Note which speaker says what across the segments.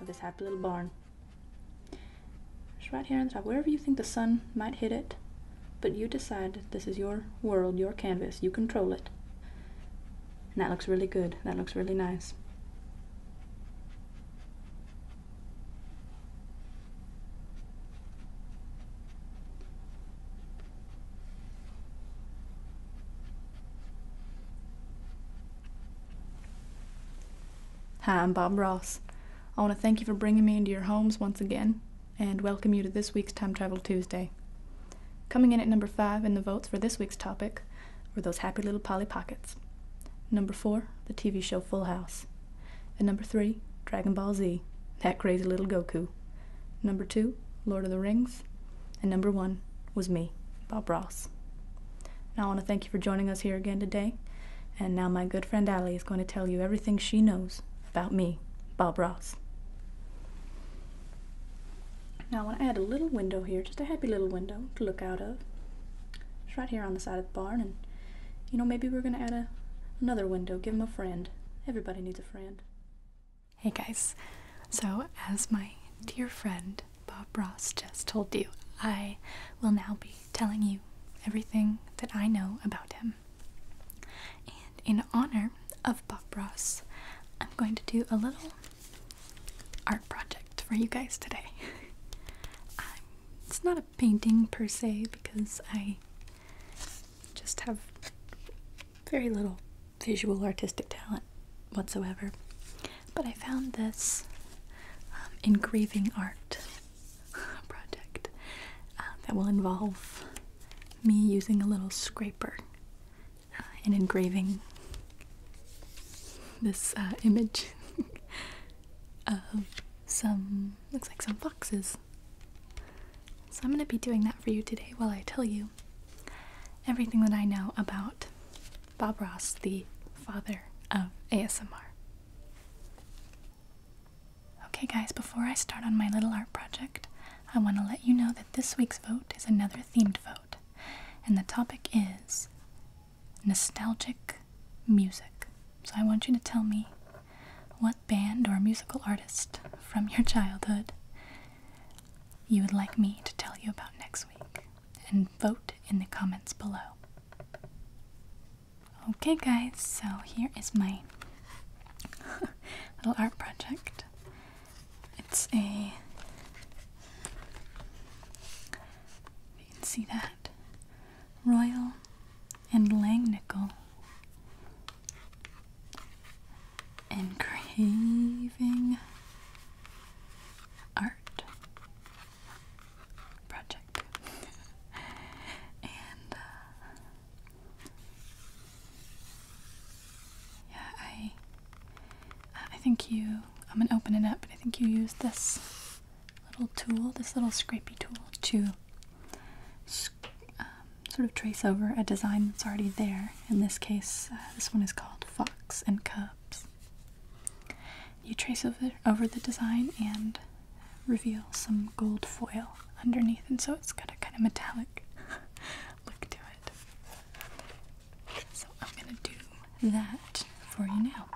Speaker 1: of this happy little barn. right here on the top, wherever you think the sun might hit it, but you decide this is your world, your canvas, you control it. that looks really good, that looks really nice. Hi, I'm Bob Ross. I want to thank you for bringing me into your homes once again and welcome you to this week's Time Travel Tuesday. Coming in at number five in the votes for this week's topic were those happy little Polly Pockets. Number four, the TV show Full House. And number three, Dragon Ball Z, that crazy little Goku. Number two, Lord of the Rings. And number one, was me, Bob Ross. Now I want to thank you for joining us here again today. And now my good friend Allie is going to tell you everything she knows about me, Bob Ross. Now I want to add a little window here, just a happy little window to look out of. It's right here on the side of the barn, and you know maybe we're going to add a, another window. Give him a friend. Everybody needs a friend. Hey guys, so as my dear friend Bob Ross just told you, I will now be telling you everything that I know about him. And in honor of Bob Ross, I'm going to do a little art project for you guys today. it's not a painting per se because I just have very little visual artistic talent whatsoever. But I found this um, engraving art project um, that will involve me using a little scraper uh, and engraving this uh, image of some, looks like some foxes. So I'm going to be doing that for you today while I tell you everything that I know about Bob Ross, the father of ASMR. Okay, guys, before I start on my little art project, I want to let you know that this week's vote is another themed vote, and the topic is nostalgic music. So I want you to tell me what band or musical artist from your childhood you would like me to tell you about next week and vote in the comments below. Okay, guys, so here is my little art project. It's a. You can see that. Royal and Langnickel. Engraving art project. and uh, yeah, I I think you I'm gonna open it up, but I think you used this little tool, this little scrapey tool to um, sort of trace over a design that's already there. In this case, uh, this one is called Fox and Cubs. You trace over, over the design and reveal some gold foil underneath, and so it's got a kind of metallic look to it. So I'm going to do that for you now.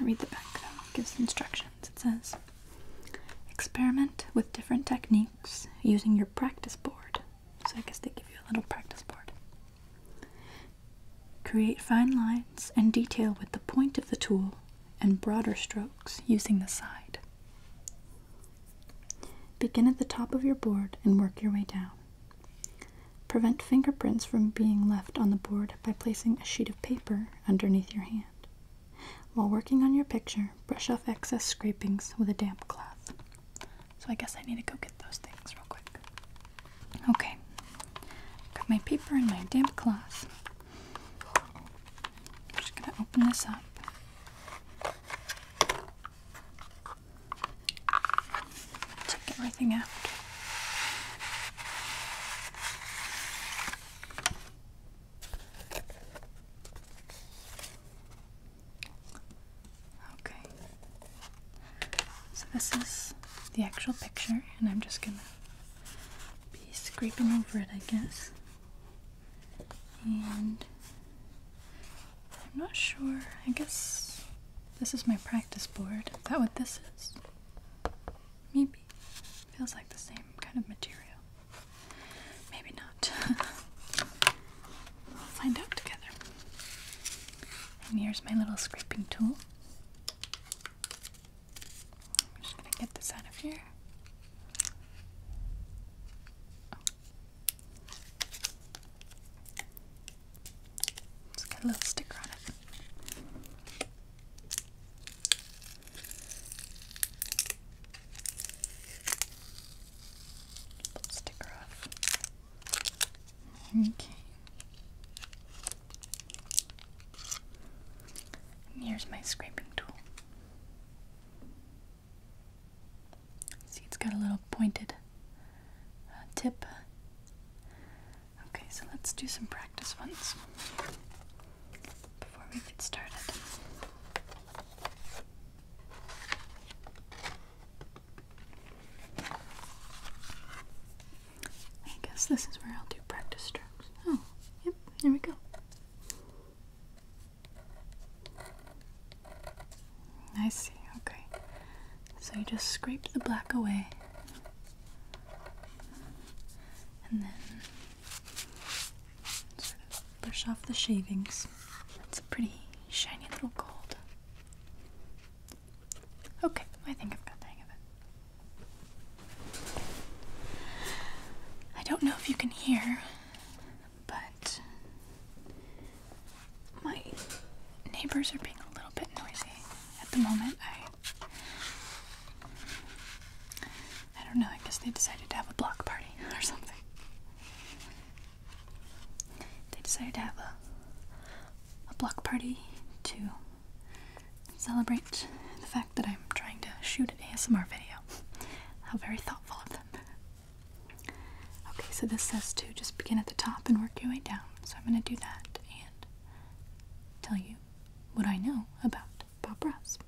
Speaker 1: read the back though, it gives instructions. It says, Experiment with different techniques using your practice board. So I guess they give you a little practice board. Create fine lines and detail with the point of the tool and broader strokes using the side. Begin at the top of your board and work your way down. Prevent fingerprints from being left on the board by placing a sheet of paper underneath your hand. While working on your picture, brush off excess scrapings with a damp cloth. So I guess I need to go get those things real quick. Okay. Got my paper and my damp cloth. I'm just gonna open this up. Take everything out. Okay. So this is the actual picture, and I'm just gonna be scraping over it, I guess. And I'm not sure. I guess this is my practice board. Is that what this is? Maybe. Feels like the same kind of material. Maybe not. we'll find out together. And here's my little scraping tool. I'm just gonna get this out of here. Oh. it a little sticker on it let sticker off. Okay. here's my scraping tool. See, it's got a little pointed uh, tip. Okay, so let's do some practice ones before we get started. I guess this is where I'll do practice strokes. Oh, yep, here we go. I see, okay. So you just scrape the black away. And then Sort of brush off the shavings. That's a pretty shiny little gold. Okay, I think I've got the hang of it. I don't know if you can hear, but my neighbors are being a little bit noisy at the moment. I I don't know, I guess they decided to have a block party or something they decided to have a, a block party to celebrate the fact that I'm trying to shoot an ASMR video. How very thoughtful of them. Okay, so this says to just begin at the top and work your way down. So I'm going to do that and tell you what I know about Bob Ross.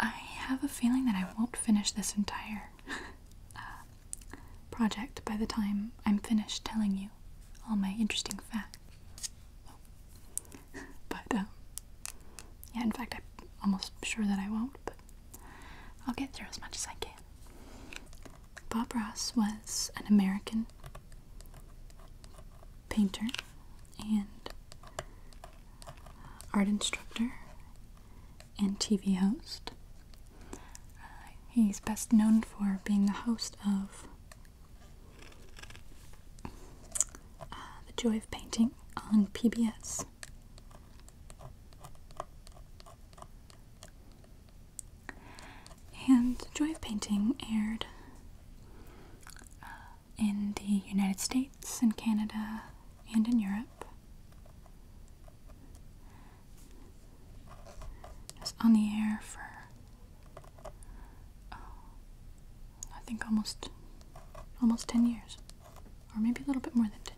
Speaker 1: I have a feeling that I won't finish this entire uh, project by the time I'm finished telling you all my interesting facts. But, um, yeah, in fact, I'm almost sure that I won't, but I'll get through as much as I can. Bob Ross was an American painter and art instructor and TV host. Uh, he's best known for being the host of uh, The Joy of Painting on PBS. And The Joy of Painting aired uh, in the United States, in Canada, and in Europe. it's on the air for, oh, I think almost, almost 10 years, or maybe a little bit more than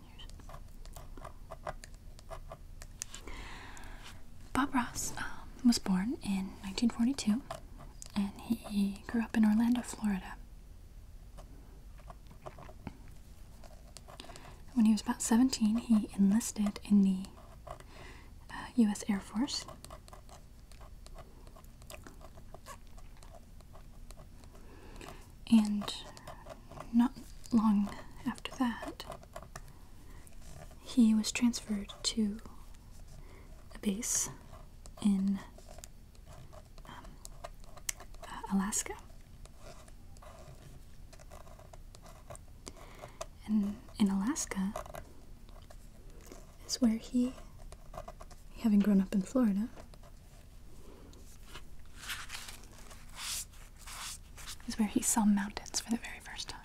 Speaker 1: 10 years. Bob Ross um, was born in 1942, and he grew up in Orlando, Florida. When he was about 17, he enlisted in the U.S. Uh, Air Force. And not long after that, he was transferred to a base in um, uh, Alaska. And in Alaska is where he, having grown up in Florida, is where he saw mountains for the very first time.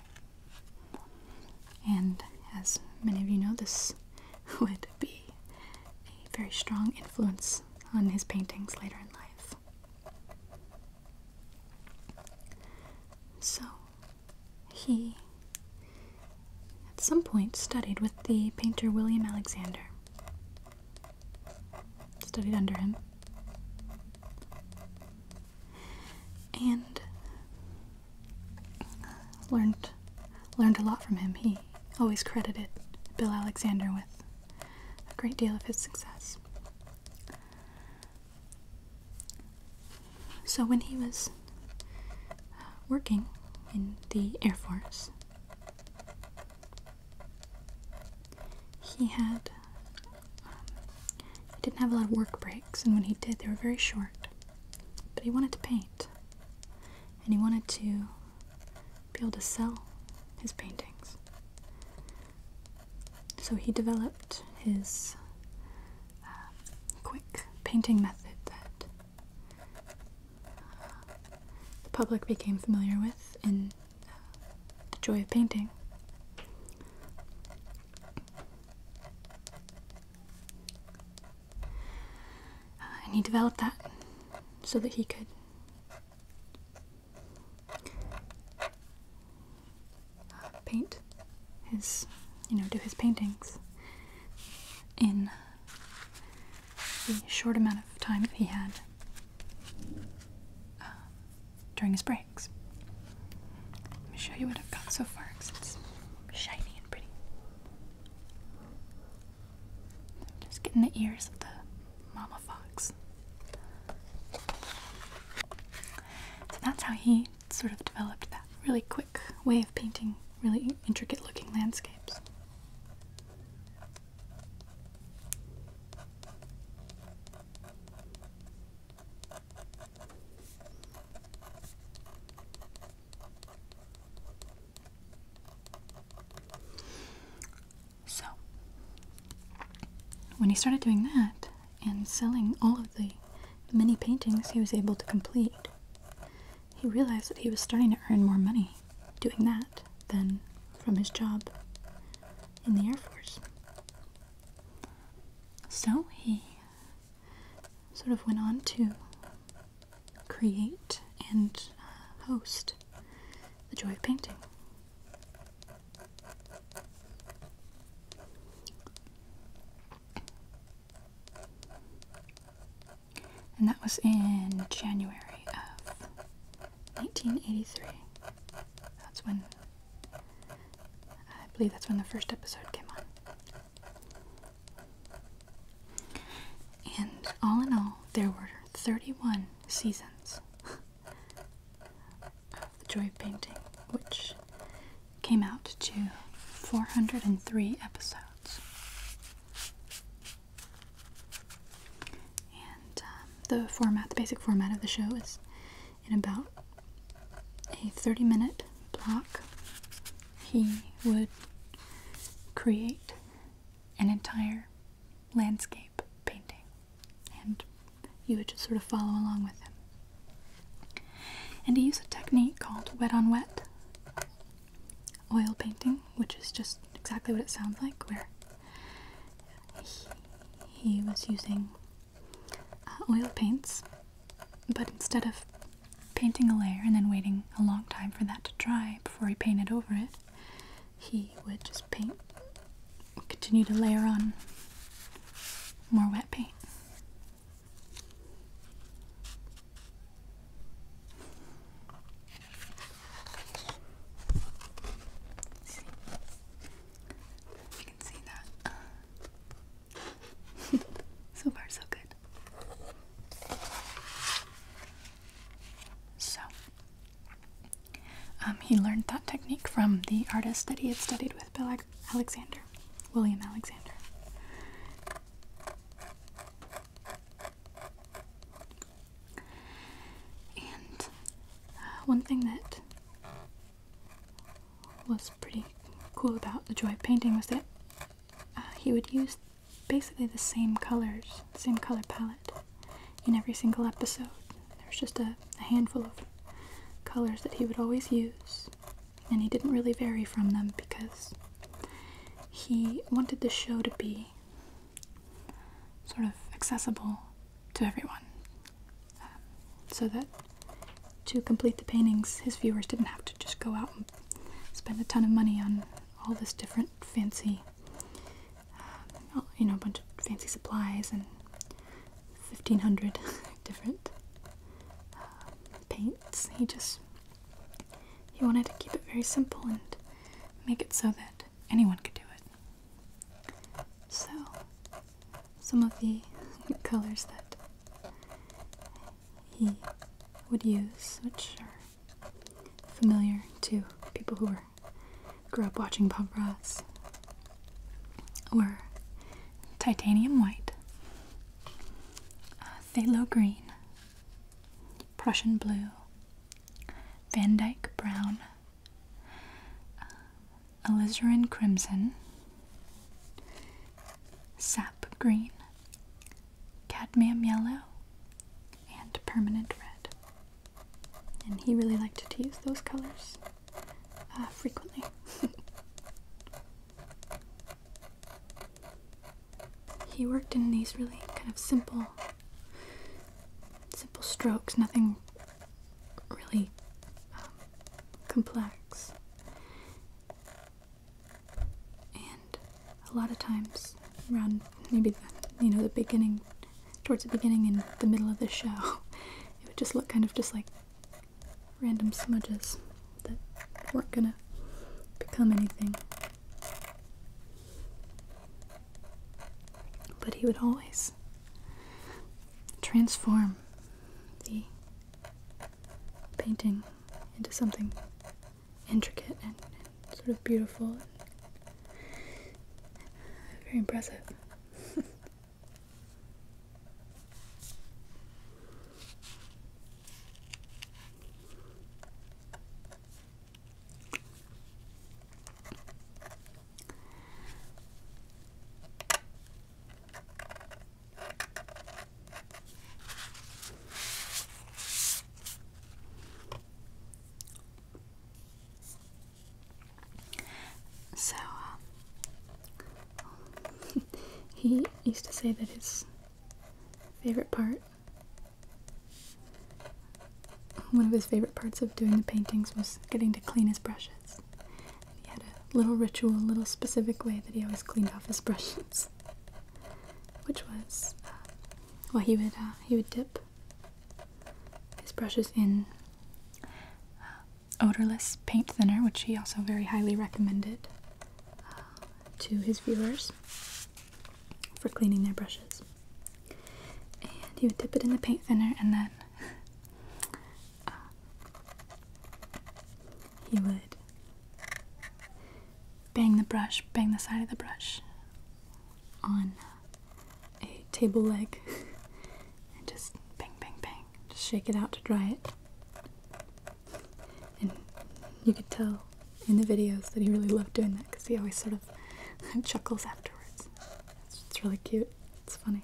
Speaker 1: And as many of you know, this would be a very strong influence on his paintings later in life. So, he at some point studied with the painter William Alexander. Studied under him. And learned Learned a lot from him. He always credited Bill Alexander with a great deal of his success. So when he was uh, working in the Air Force, he had um, he didn't have a lot of work breaks, and when he did, they were very short. But he wanted to paint, and he wanted to be able to sell his paintings. So he developed his uh, quick painting method that uh, the public became familiar with in uh, The Joy of Painting. Uh, and he developed that so that he could uh, paint his, you know, do his paintings in the short amount of time that he had uh, during his breaks. Let me show you what I've got so far because it's shiny and pretty. Just getting the ears of the mama fox. So that's how he sort of developed that really quick way of painting really intricate looking landscapes. So, when he started doing that and selling all of the many paintings he was able to complete, he realized that he was starting to earn more money doing that than from his job in the Air Force. So he sort of went on to create and uh, host the joy of painting. And that was in January of 1983. That's when, I believe that's when the first episode came on. And all in all, there were 31 seasons of The Joy of Painting, which came out to 403 episodes. And um, the format, the basic format of the show is in about a 30 minute block he would create an entire landscape painting, and you would just sort of follow along with him. And he used a technique called wet on wet oil painting, which is just exactly what it sounds like, where he, was using uh, oil paints, but instead of painting a layer and then waiting a long time for that to dry before he painted over it, he would just paint, continue to layer on more wet paint. you can see that. so far, so good. So, um, he learned that technique from the artist that he had studied with, Bill Alexander, William Alexander. And uh, one thing that was pretty cool about the joy of painting was that uh, he would use basically the same colors, same color palette in every single episode. There's just a, handful of colors that he would always use, and he didn't really vary from them because he wanted the show to be sort of accessible to everyone um, so that to complete the paintings his viewers didn't have to just go out spend a ton of money on all this different fancy, uh, you know, a bunch of fancy supplies and 1500 different uh, paints. He just he wanted to keep it very simple and make it so that anyone could do it. So, some of the colors that he would use, which are familiar to people who were, grew up watching operas, were titanium white, uh, phthalo green, Prussian blue, Van Dyke brown, uh, alizarin crimson, sap green, cadmium yellow, and permanent red. And he really liked to use those colors uh, frequently. he worked in these really kind of simple, simple strokes, nothing really um, complex and a lot of times around maybe the, you know the beginning towards the beginning and the middle of the show it would just look kind of just like random smudges that weren't gonna become anything but he would always transform the painting into something intricate and, sort of beautiful very impressive. So, uh, he used to say that his favorite part, one of his favorite parts of doing the paintings was getting to clean his brushes. He had a little ritual, a little specific way that he always cleaned off his brushes which was, uh, well, he would uh, he would dip his brushes in uh, odorless paint thinner, which he also very highly recommended to his viewers for cleaning their brushes. And he would dip it in the paint thinner, and then he would Bang the brush, bang the side of the brush on a table leg and just bang, bang, bang. Just shake it out to dry it. And you could tell in the videos that he really loved doing that because he always sort of chuckles afterwards. It's, it's really cute, it's funny.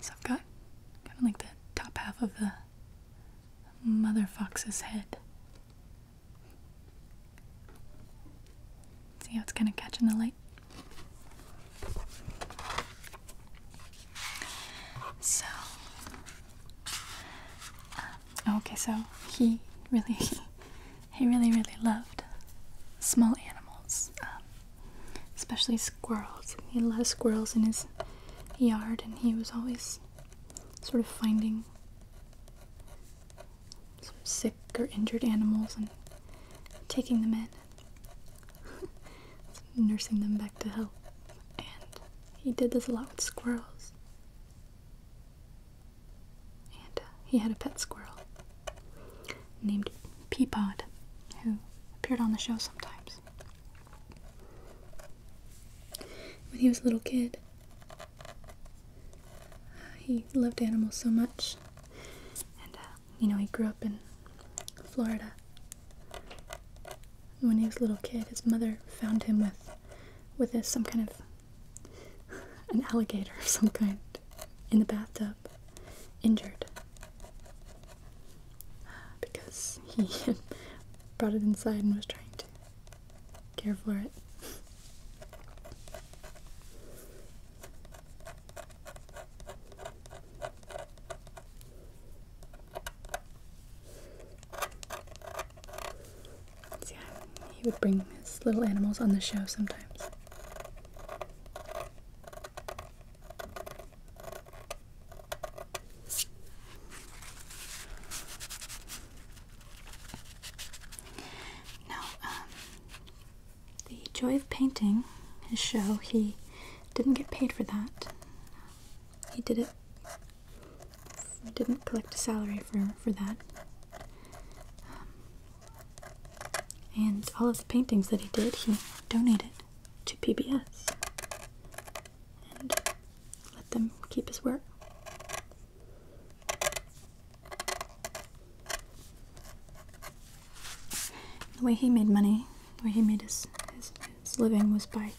Speaker 1: So I've got kind of like the top half of the mother fox's head. See how it's kind of catching the light? So, uh, okay, so he really he really, really loved small animals, um, especially squirrels. He had a lot of squirrels in his yard, and he was always sort of finding some sick or injured animals and taking them in, nursing them back to health. And he did this a lot with squirrels. And uh, he had a pet squirrel named Peapod, who appeared on the show sometimes. When he was a little kid, he loved animals so much. And, uh, you know, he grew up in Florida. When he was a little kid, his mother found him with, with this, some kind of an alligator of some kind in the bathtub, injured because he brought it inside and was trying to care for it. yeah, he would bring his little animals on the show sometimes. Now, um, the joy of painting, his show, he didn't get paid for that. He did it, didn't collect a salary for, for that. Um, and all of the paintings that he did, he donated to PBS and let them keep his work. The way he made money, the way he made his, his, living was by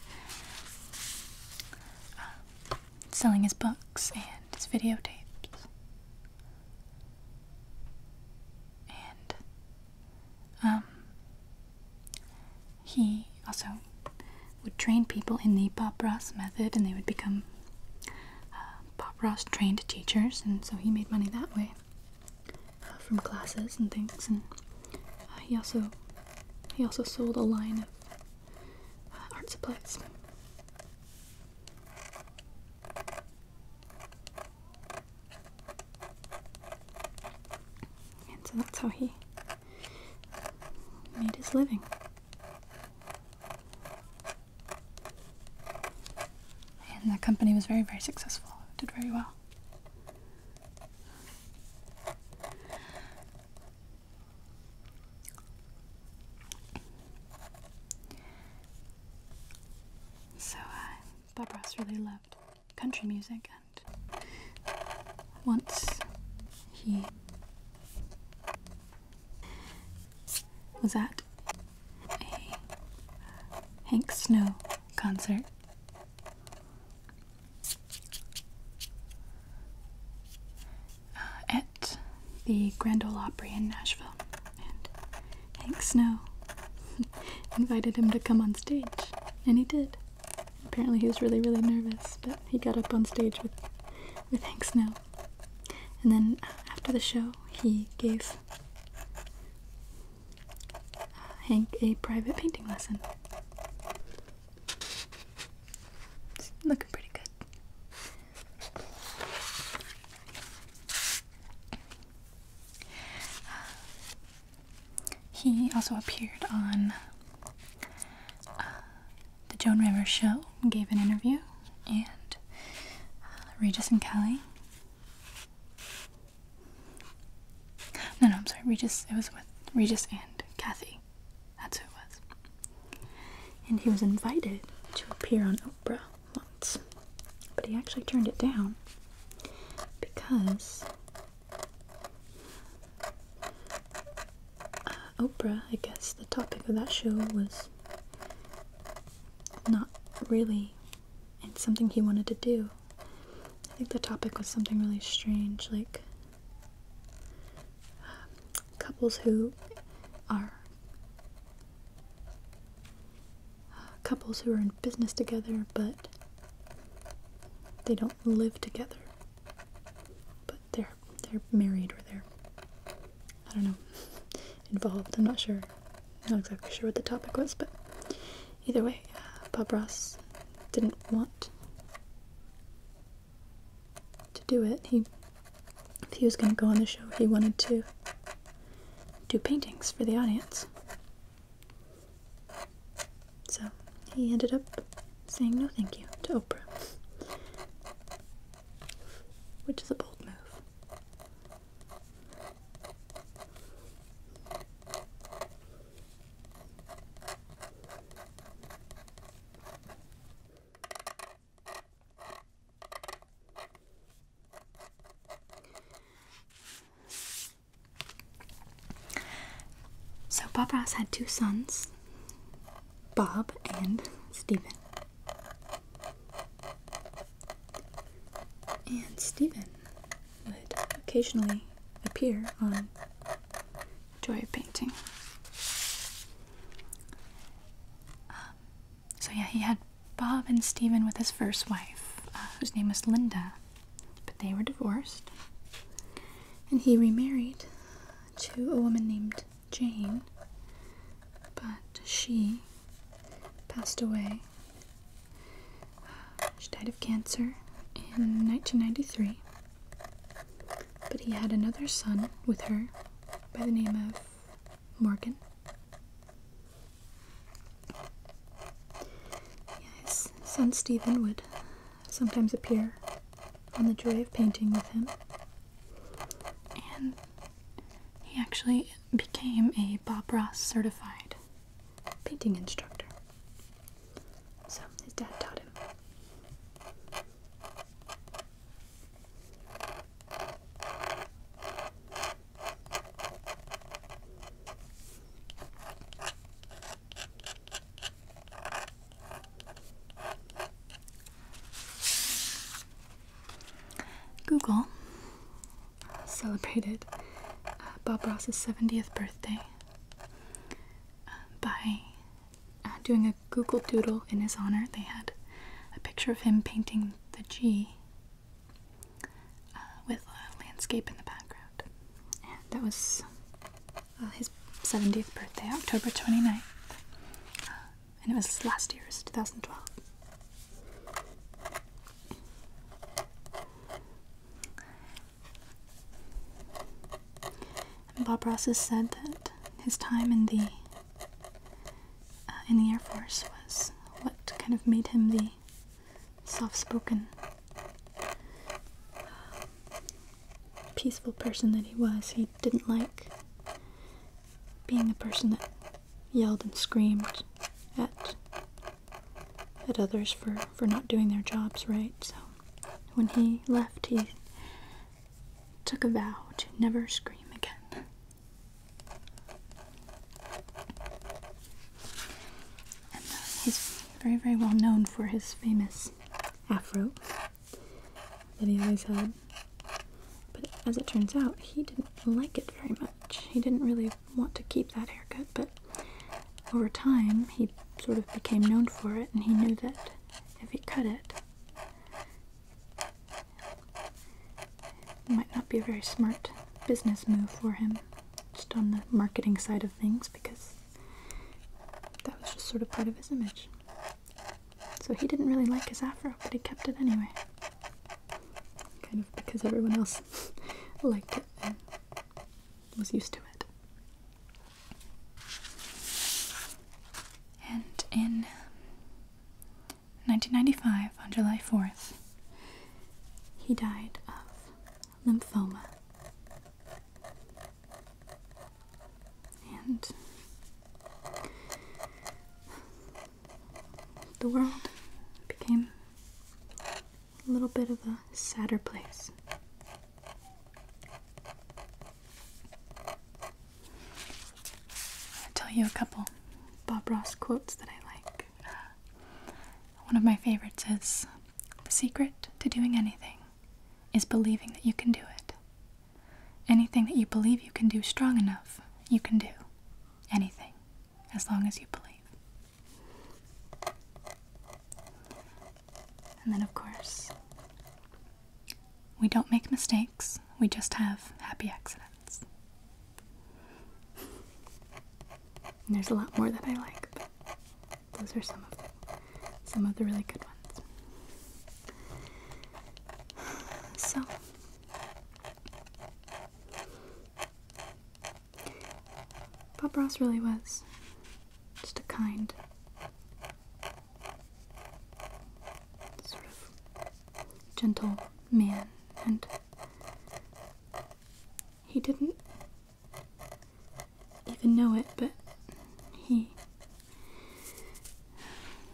Speaker 1: uh, selling his books and his videotapes. And um, he also would train people in the Bob Ross method, and they would become uh, Bob Ross trained teachers, and so he made money that way uh, from classes and things. And uh, he also he also sold a line of uh, art supplies. And so that's how he made his living. And the company was very, very successful, did very well. So uh, Bob Ross really loved country music, and once he was at a Hank Snow concert. Uh, at the Grand Ole Opry in Nashville, and Hank Snow invited him to come on stage, and he did. Apparently, he was really, really nervous, but he got up on stage with with Hank Snow, and then uh, after the show, he gave uh, Hank a private painting lesson. looking pretty good. Uh, he also appeared on uh, the Joan Rivers show, gave an interview, and uh, Regis and Kelly. No, no, I'm sorry, Regis. It was with Regis and Kathy. That's who it was. And he was invited to appear on once, but he actually turned it down because uh, Oprah, I guess the topic of that show was not really and something he wanted to do. I think the topic was something really strange, like couples who are uh, couples who are in business together but they don't live together but they're they're married or they're I don't know involved I'm not sure I'm not exactly sure what the topic was but either way uh, Bob Ross didn't want to do it. He, if he was going to go on the show, he wanted to do paintings for the audience. So he ended up saying no thank you to Oprah, which is a bold move. So, Bob Ross had two sons, Bob and Stephen. And Stephen would occasionally appear on Joy of Painting. Um, so yeah, he had Bob and Stephen with his first wife, uh, whose name was Linda, but they were divorced, and he remarried to a woman named Jane, but she passed away. She died of cancer in 1993, but he had another son with her by the name of Morgan. Yeah, his son Stephen would sometimes appear on the joy of painting with him. And he actually became a Bob Ross certified painting instructor. So his dad taught him. Google celebrated uh, Bob Ross's 70th birthday uh, by uh, doing a Google Doodle in his honor. They had a picture of him painting the G uh, with a landscape in the background. that was uh, his 70th birthday, October 29th. Uh, and it was last year's, 2012. Bob Ross has said that his time in the uh, in the Air Force was what kind of made him the soft-spoken, peaceful person that he was. He didn't like being the person that yelled and screamed at at others for for not doing their jobs right. So when he left, he took a vow to never scream again. Uh, he's very, very well known for his famous afro that he always had. But as it turns out, he didn't like it very much. He didn't really want to keep that haircut, but over time, he sort of became known for it, and he knew that if he cut it, might not be a very smart business move for him, just on the marketing side of things, because that was just sort of part of his image. So he didn't really like his afro, but he kept it anyway. Kind of because everyone else liked it and was used to it. And in 1995, on July 4th, he died of lymphoma. And the world became a little bit of a sadder place. I'll tell you a couple Bob Ross quotes that I like. One of my favorites is The secret to doing anything is believing that you can do it. Anything that you believe you can do strong enough, you can do. Anything, as long as you believe. And then, of course, we don't make mistakes, we just have happy accidents. there's a lot more that I like, but those are some of the, some of the really good ones. So Bob Ross really was just a kind, sort of gentle man, and he didn't even know it, but he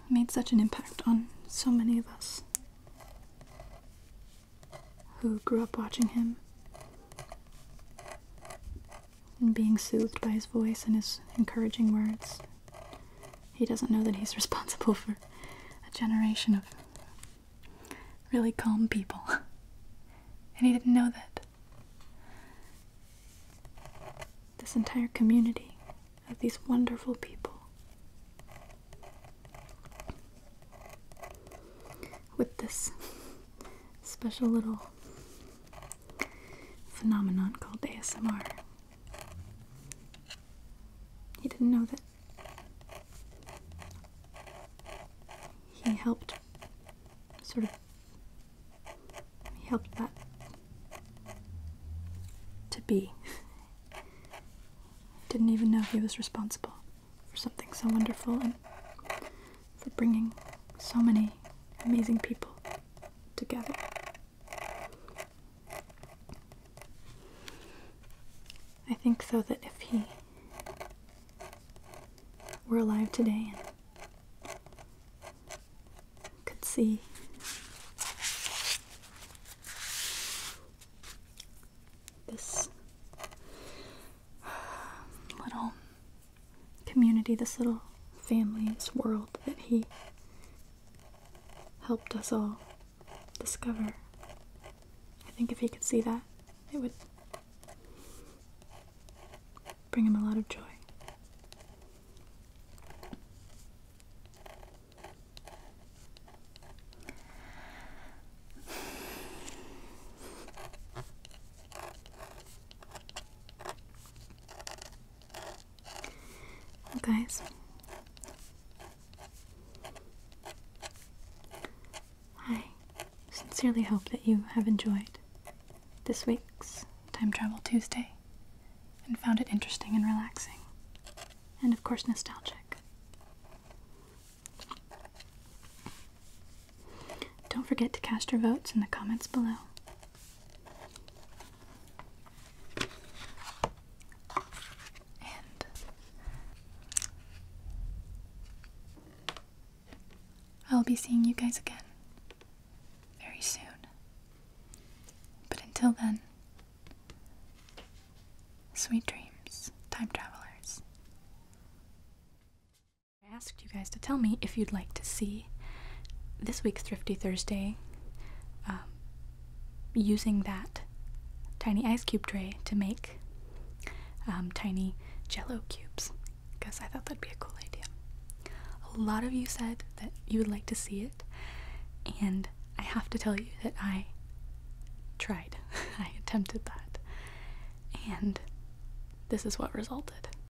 Speaker 1: made such an impact on so many of us who grew up watching him and being soothed by his voice and his encouraging words. He doesn't know that he's responsible for a generation of really calm people. and he didn't know that. This entire community of these wonderful people with this special little phenomenon called ASMR. He didn't know that he helped sort of he helped that to be. Didn't even know he was responsible for something so wonderful and for bringing so many amazing people together. I think, so that if he were alive today and could see this little community, this little family, this world that he helped us all discover. I think if he could see that, it would bring him a lot of joy guys. I sincerely hope that you have enjoyed this week's Time Travel Tuesday and found it interesting and relaxing, and of course, nostalgic. Don't forget to cast your votes in the comments below and I'll be seeing you guys again very soon. But until then, sweet dreams, time travelers. I asked you guys to tell me if you'd like to see this week's Thrifty Thursday um, using that tiny ice cube tray to make um, tiny jello cubes because I thought that'd be a cool idea. A lot of you said that you would like to see it, and I have to tell you that I tried. I attempted that, and this is what resulted.